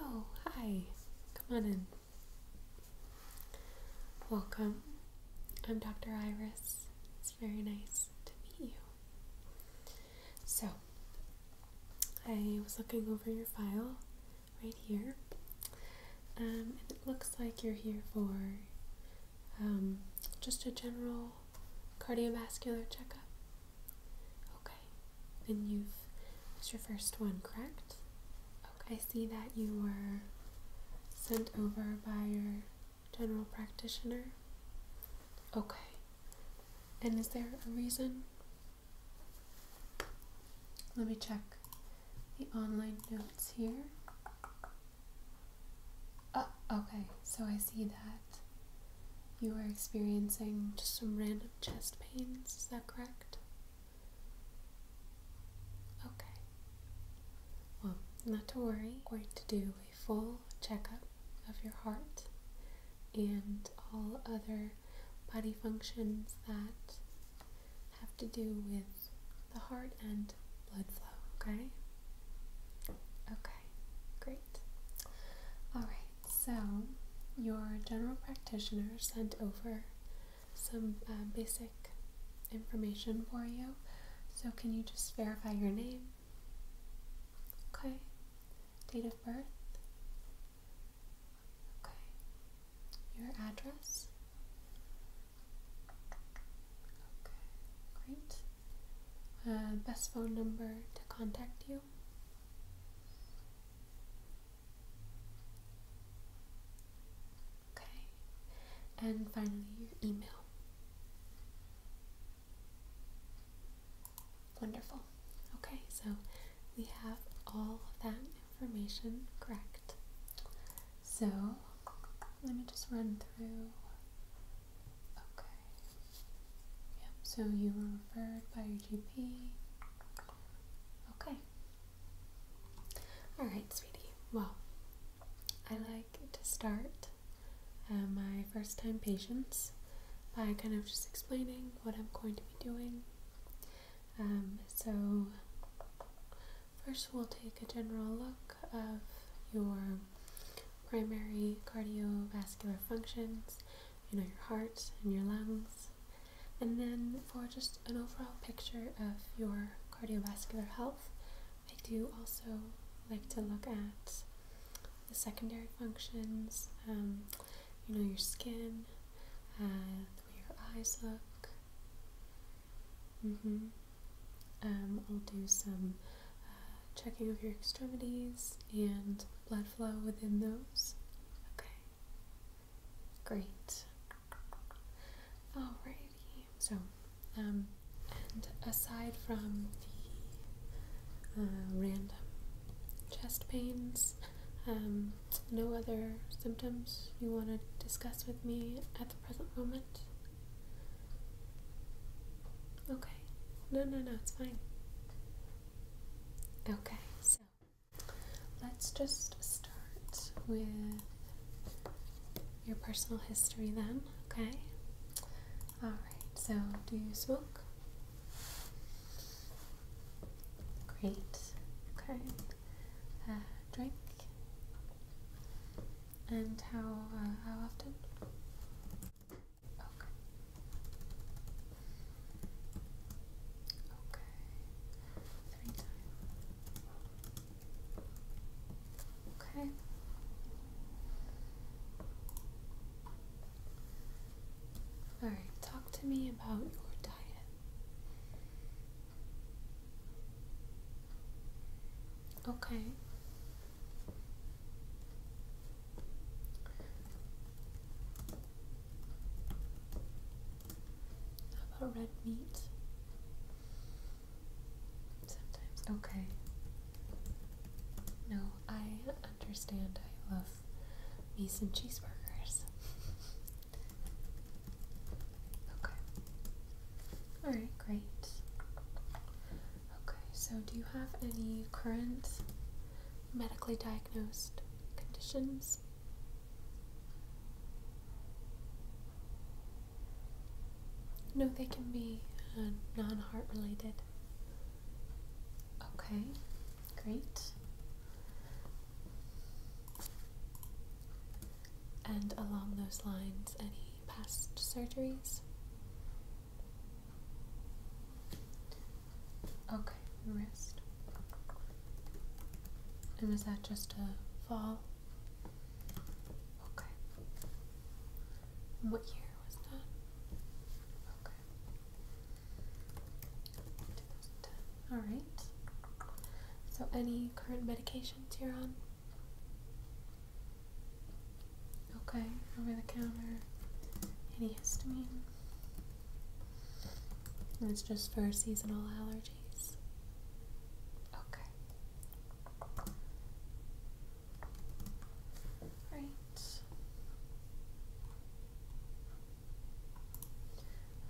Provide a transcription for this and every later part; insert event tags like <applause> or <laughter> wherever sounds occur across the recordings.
Oh, hi. Come on in. Welcome. I'm Dr. Iris. It's very nice to meet you. So, I was looking over your file right here. Um, and it looks like you're here for um, just a general cardiovascular checkup. Okay, and you've, it's your first one, correct? Okay, I see that you were sent over by your general practitioner. Okay, and is there a reason let me check the online notes here. Oh, okay, so I see that you are experiencing just some random chest pains, is that correct? Okay. Well, not to worry, We're going to do a full checkup of your heart and all other body functions that have to do with the heart and blood flow, okay? Okay, great. Alright, so your general practitioner sent over some uh, basic information for you. So, can you just verify your name? Okay. Date of birth? Okay. Your address? Okay, great. Uh, best phone number to contact you? Okay. And finally, your email. Wonderful. Okay, so we have all of that information correct. So let me just run through. Okay. Yep, so you were referred by your GP. Okay. Alright, sweetie. Well, I like to start uh, my first time patients by kind of just explaining what I'm going to be doing. Um, so first we'll take a general look of your primary cardiovascular functions, you know, your heart and your lungs, and then for just an overall picture of your cardiovascular health, I do also like to look at the secondary functions, um, you know, your skin, and uh, the way your eyes look. Mm-hmm. Um, I'll do some uh, checking of your extremities and blood flow within those. Okay. Great. Alrighty. So, um, and aside from the uh, random chest pains, um, no other symptoms you want to discuss with me at the present moment? Okay. No, no, no, it's fine. Okay, so let's just start with your personal history then, okay? Alright, so do you smoke? Great. Okay. Uh, drink and how uh, how often? Okay. Okay. Three times. Okay. All right. Talk to me about your Okay. about red meat? Sometimes. Okay. No, I understand. I love me some cheeseburgers. <laughs> Okay. Alright, great. Okay, so do you have any current medically diagnosed conditions? No, they can be uh, non heart related. Okay, great. And along those lines, any past surgeries? Okay, wrist. And was that just a fall? Okay. what year was that? Okay. 2010. All right. So, any current medications you're on? Okay, over the counter. Any histamine? And it's just for seasonal allergies. Okay. Right.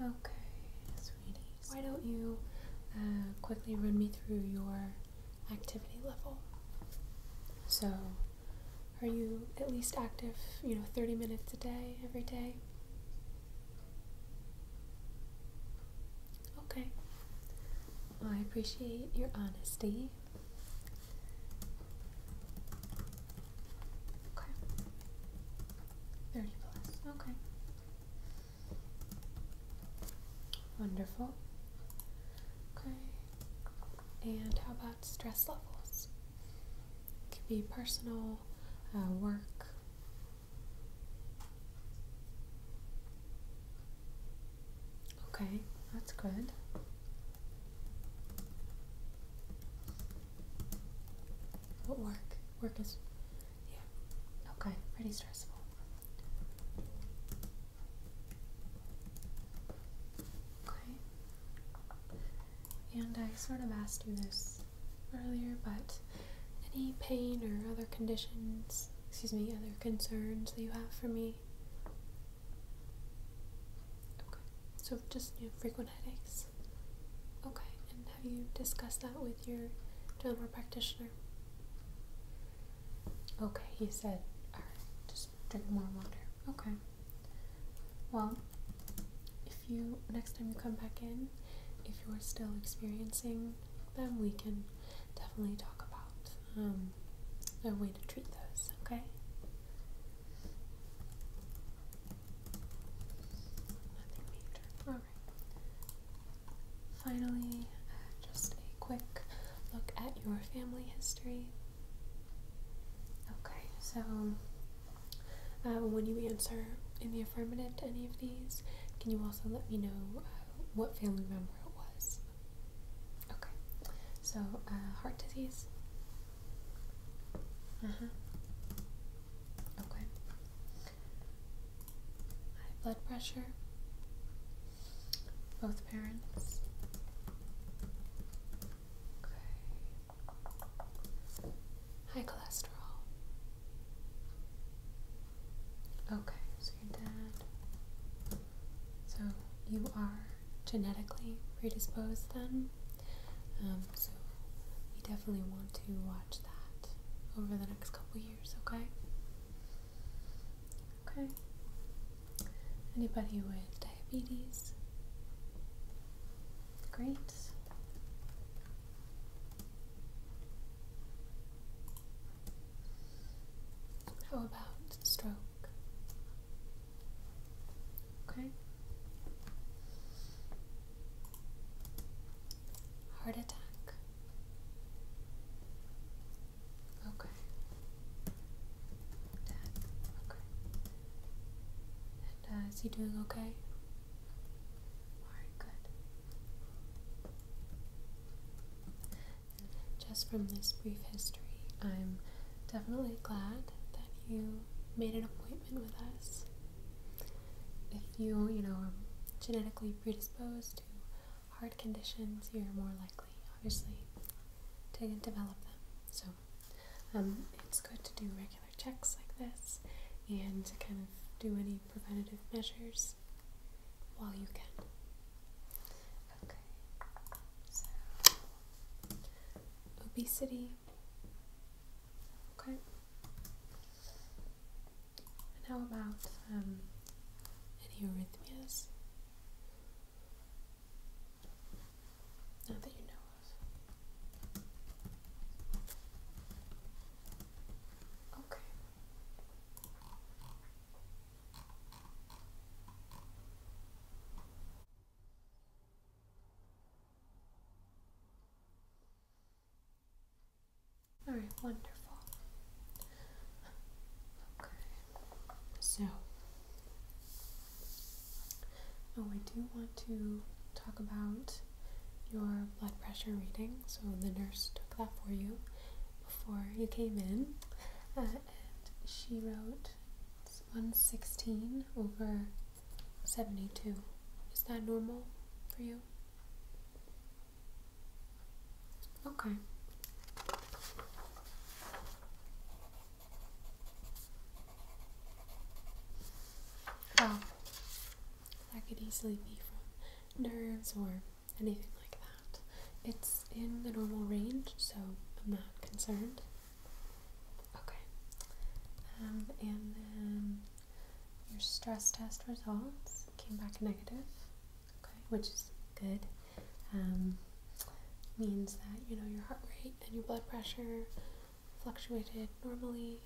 Okay, sweeties. Why don't you uh, quickly run me through your activity level? So, are you at least active, you know, 30 minutes a day, every day? Okay. I appreciate your honesty. Okay. 30 plus. Okay. Wonderful. Okay. And how about stress levels? It could be personal, uh, work. Okay, that's good work, work is, yeah, okay, pretty stressful. Okay, and I sort of asked you this earlier, but any pain or other conditions, excuse me, other concerns that you have for me? Okay, so just you know, frequent headaches. Okay, and have you discussed that with your general practitioner? Okay, he said, all right, just drink more water. Okay. Well, if you, next time you come back in, if you're still experiencing them, we can definitely talk about um, a way to treat those, okay? Finally, uh, just a quick look at your family history. Okay, so uh, when you answer in the affirmative to any of these, can you also let me know uh, what family member it was? Okay, so heart disease. Uh huh. Okay high blood pressure, both parents. Okay. High cholesterol. Okay, so your dad. So you are genetically predisposed then. Um, so we definitely want to watch over the next couple years, okay? Okay. Anybody with diabetes? Great. How about stroke? Okay. Heart attack. Okay. Dad. Okay. And uh, is he doing okay? Alright, good. just from this brief history, I'm definitely glad that you made an appointment with us if you, you know, are genetically predisposed to heart conditions, you're more likely, obviously, to develop them. So um, it's good to do regular checks like this and to kind of do any preventative measures while you can. Okay, so obesity. Okay, and how about um, any arrhythmias? Not you know Okay. All right, wonderful. Okay, so oh, I do want to talk about your blood pressure reading. So the nurse took that for you before you came in, uh, and she wrote 116 over 72. Is that normal for you? Okay. Well, that could easily be from nerves or anything like that. It's in the normal range, so I'm not concerned. Okay. Um, and then your stress test results came back negative, okay, which is good. Um, means that you know your heart rate and your blood pressure fluctuated normally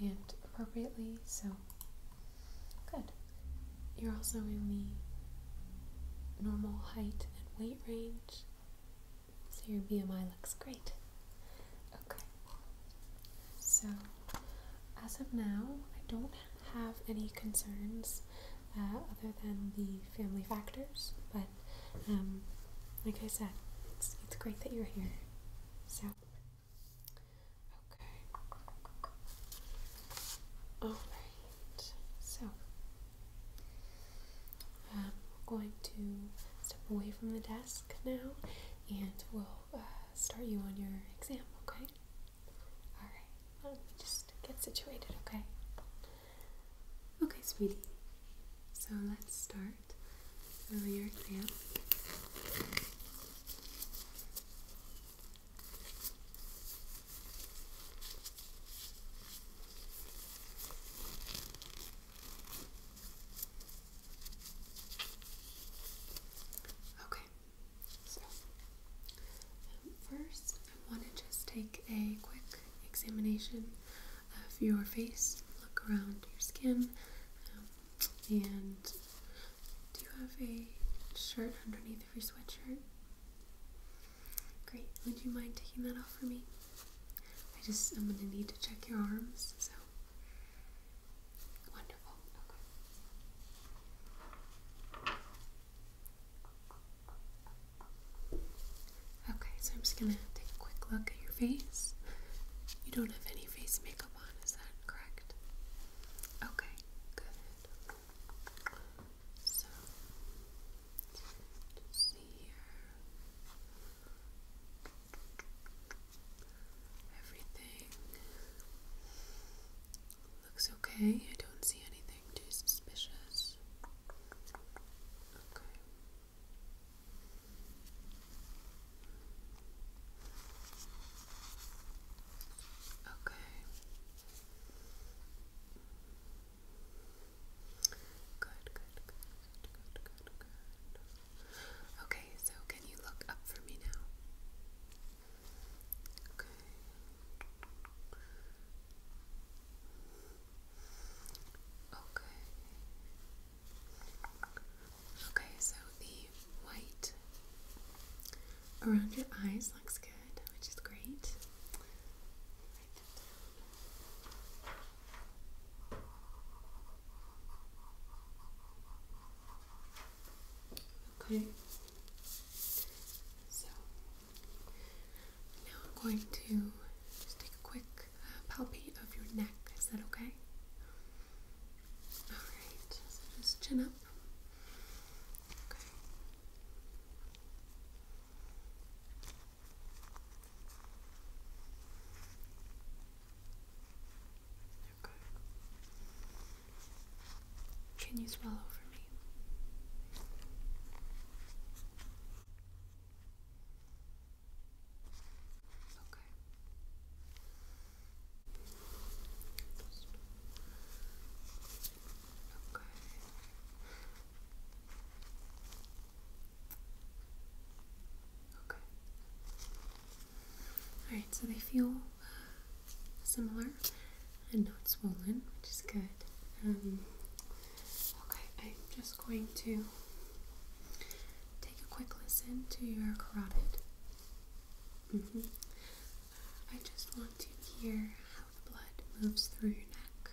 and appropriately, so good. You're also in the normal height and weight range, so your BMI looks great. Okay. So, as of now, I don't have any concerns uh, other than the family factors, but um, like I said, it's, it's great that you're here. So, okay. Alright, so um, we're going to step away from the desk now and we'll uh, start you on your exam, okay? Alright, Let me just get situated, okay? Okay, sweetie. So let's start your exam. Okay, so first I want to just take a quick examination of your face, look around your skin, um, and do you have a shirt underneath of your sweatshirt? Great, would you mind taking that off for me? I just, I'm going to need to check your arms, so Okay. so I'm just gonna take a quick look at your face. You don't have any face makeup on, is that correct? Okay, good. So, just here. Everything looks okay. I don't see anything too suspicious. Okay. Okay. Good, good, good, good, good, good, Okay, so can you look up for me now? Okay. Okay. Okay, so the white around your eyes looks good, which is great. Okay. So now I'm going to just take a quick uh, palpate of your neck. Is that okay? All right. So just chin up. Okay. Can you swallow for me? Okay. Okay. Okay. Alright, so they feel similar and not swollen, which is good. Um, okay, I'm just going to take a quick listen to your carotid. Mm-hmm. I just want to hear how the blood moves through your neck.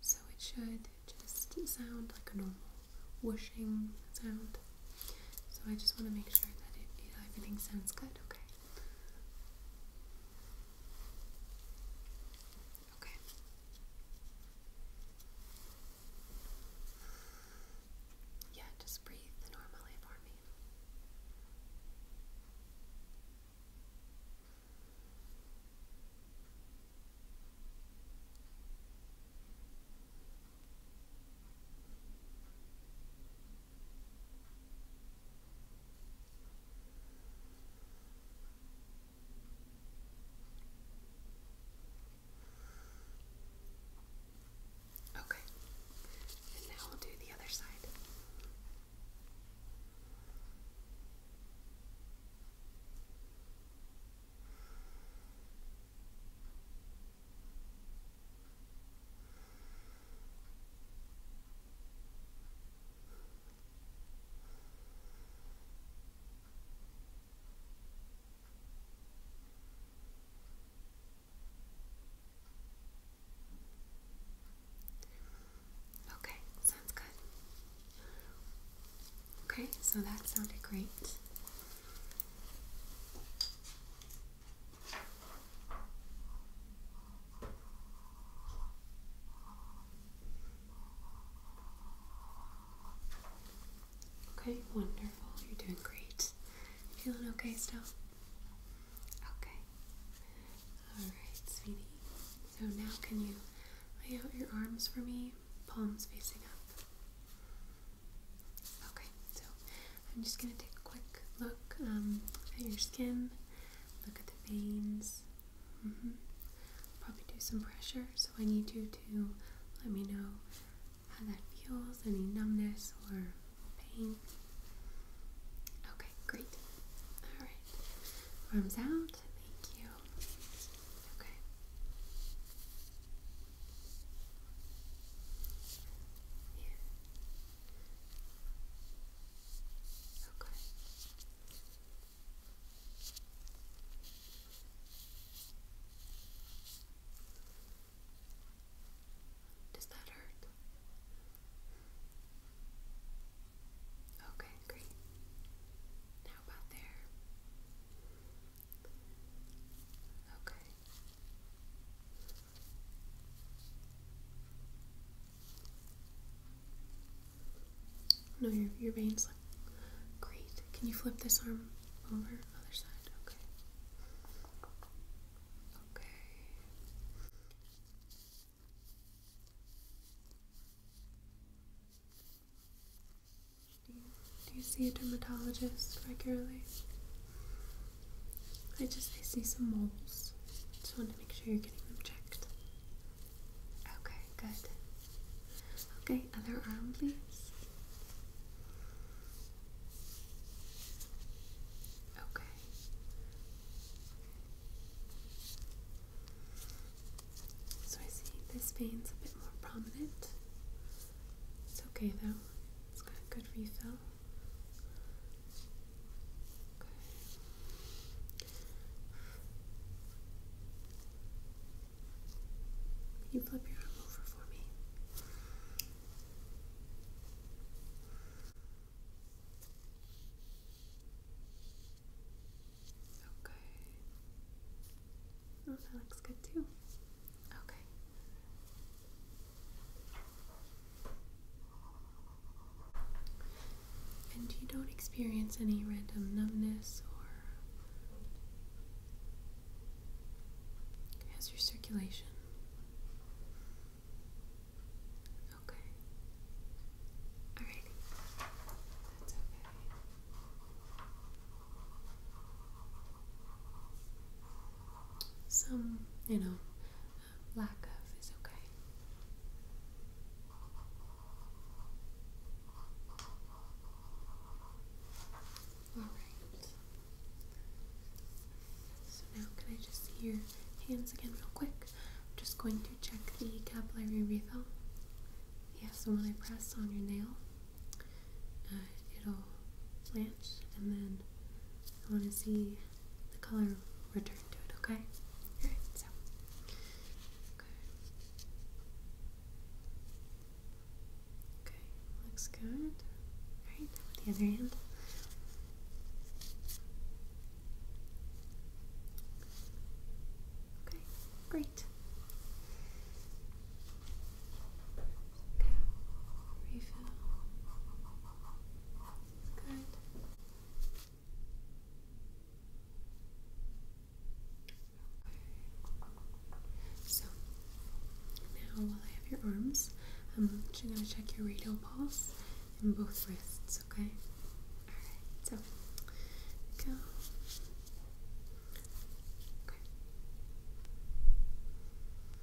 So it should just sound like a normal whooshing sound. So I just want to make sure that it, it, everything sounds good, okay? Okay. Yeah, just breathe normally for me. Okay. Okay, and now we'll do the other side. Okay, sounds good. Okay, so that sounded great. Okay, wonderful. You're doing great. Feeling okay still? Okay. Alright, sweetie. So now can you lay out your arms for me, palms facing up? Okay, so I'm just going to take a quick look um, at your skin, look at the veins. Mm-hmm. Probably do some pressure, so I need you to let me know how that feels, any numbness or pain. Okay, great. Alright, arms out. Thank you. Okay. Yeah. Okay. Does that hurt? Okay, great. Now about there. Okay. No, your, your veins look great. Can you flip this arm over? Other side. Okay. Okay. Do you, do you see a dermatologist regularly? I just see some moles. Just want to make sure you're getting them checked. Okay, good. Okay, other arm, please. Okay. So I see this vein's a bit more prominent. It's okay though. It's got a good refill. You flip your arm over for me. Okay. Oh, that looks good too. Okay. And you don't experience any random numbness or how's your circulation? Okay. Alrighty. That's Okay some, you know, lack of is okay. Alright. So now, can I just see hands again, real quick? just going to check the capillary refill. Yeah, so when I press on your nail, uh, it'll blanch and then I want to see the color return to it, okay? Alright, so. Okay. looks good. Alright, the other hand. Okay, great. Okay. Refill. Good. Okay. So now while I have your arms, I'm just gonna check your radial pulse in both wrists, okay? Alright, so go. Okay.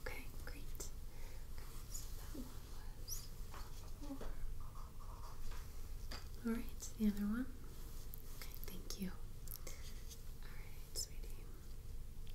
Okay, great. Okay, so that one was four. All right, the other one. Okay, thank you. All right, sweetie. Okay,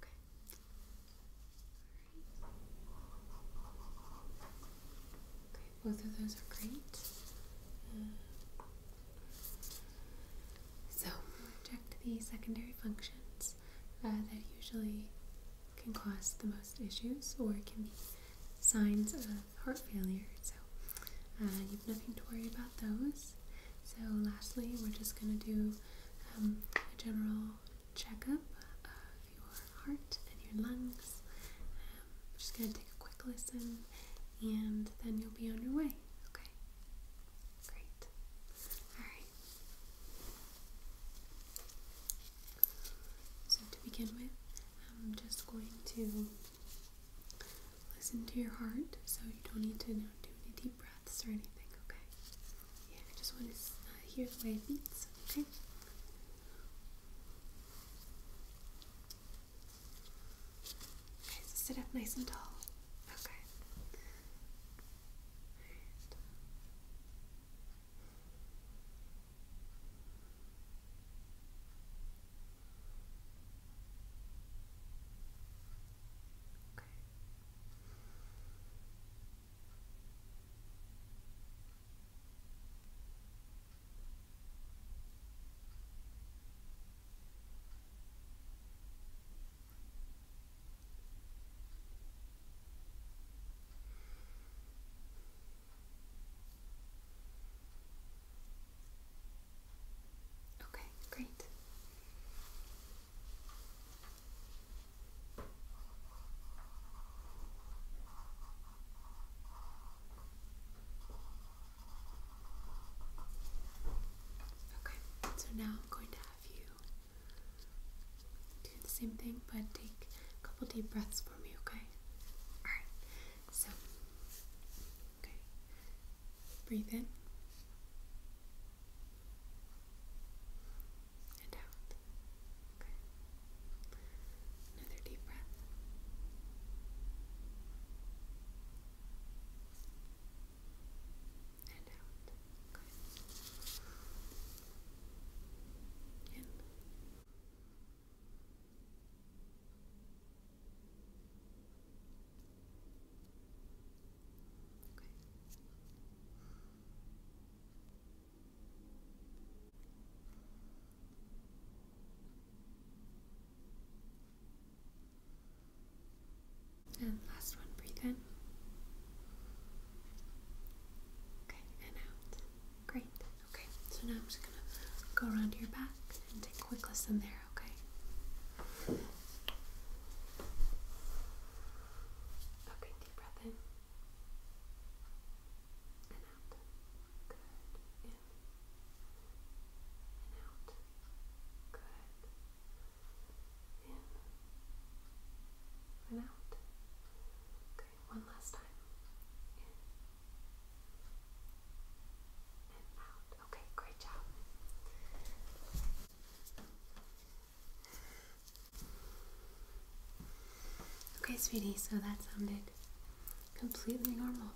Okay. Okay, both of those are great. Uh, so, checked the secondary functions uh, that usually can cause the most issues or can be signs of heart failure. So, uh, you have nothing to worry about those. So, lastly, we're just going to do um, a general checkup of your heart and your lungs. Um, i just going to take a quick listen and then you'll be on your way. Okay? Great. Alright. So, to begin with, I'm just going to listen to your heart so you don't need to do any deep breaths or anything, okay? Yeah, I just want to uh, hear the way it beats, okay? Okay, so sit up nice and tall. Okay. Okay. Okay, great. Okay, so now I'm going to have you do the same thing, but take a couple deep breaths for me, okay? Alright, so, okay, breathe in and out. Okay. Another deep breath. And out. Okay. In. And last one, breathe in. Okay, and out. Great. Okay, so now I'm just gonna go around to your back and take a quick listen there, okay? Okay, deep breath in. And out. Good. In. And out. Good. In. And out. Okay, one last time. In. And out. Okay, great job. Okay, sweetie, so that sounded completely normal.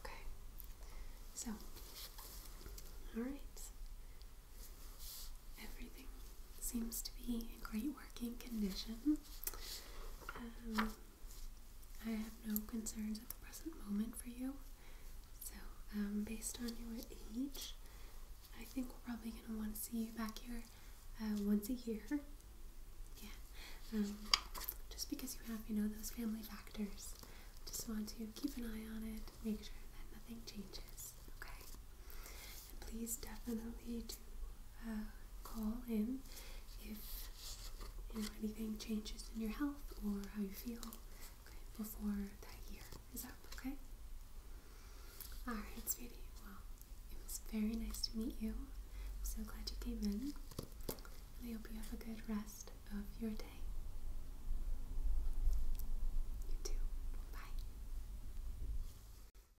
Okay, so, all right, everything seems to be in great working condition. Um, I have no concerns at the present moment for you. So, um, based on your age, I think we're probably going to want to see you back here uh, once a year. Yeah. Um, just because you have, you know, those family factors. Just want to keep an eye on it, make sure that nothing changes. Okay please definitely do uh, call in if you know, anything changes in your health or how you feel before that year is up, okay? Alright, sweetie. Well, it was very nice to meet you. I'm so glad you came in. I hope you have a good rest of your day. You too. Bye.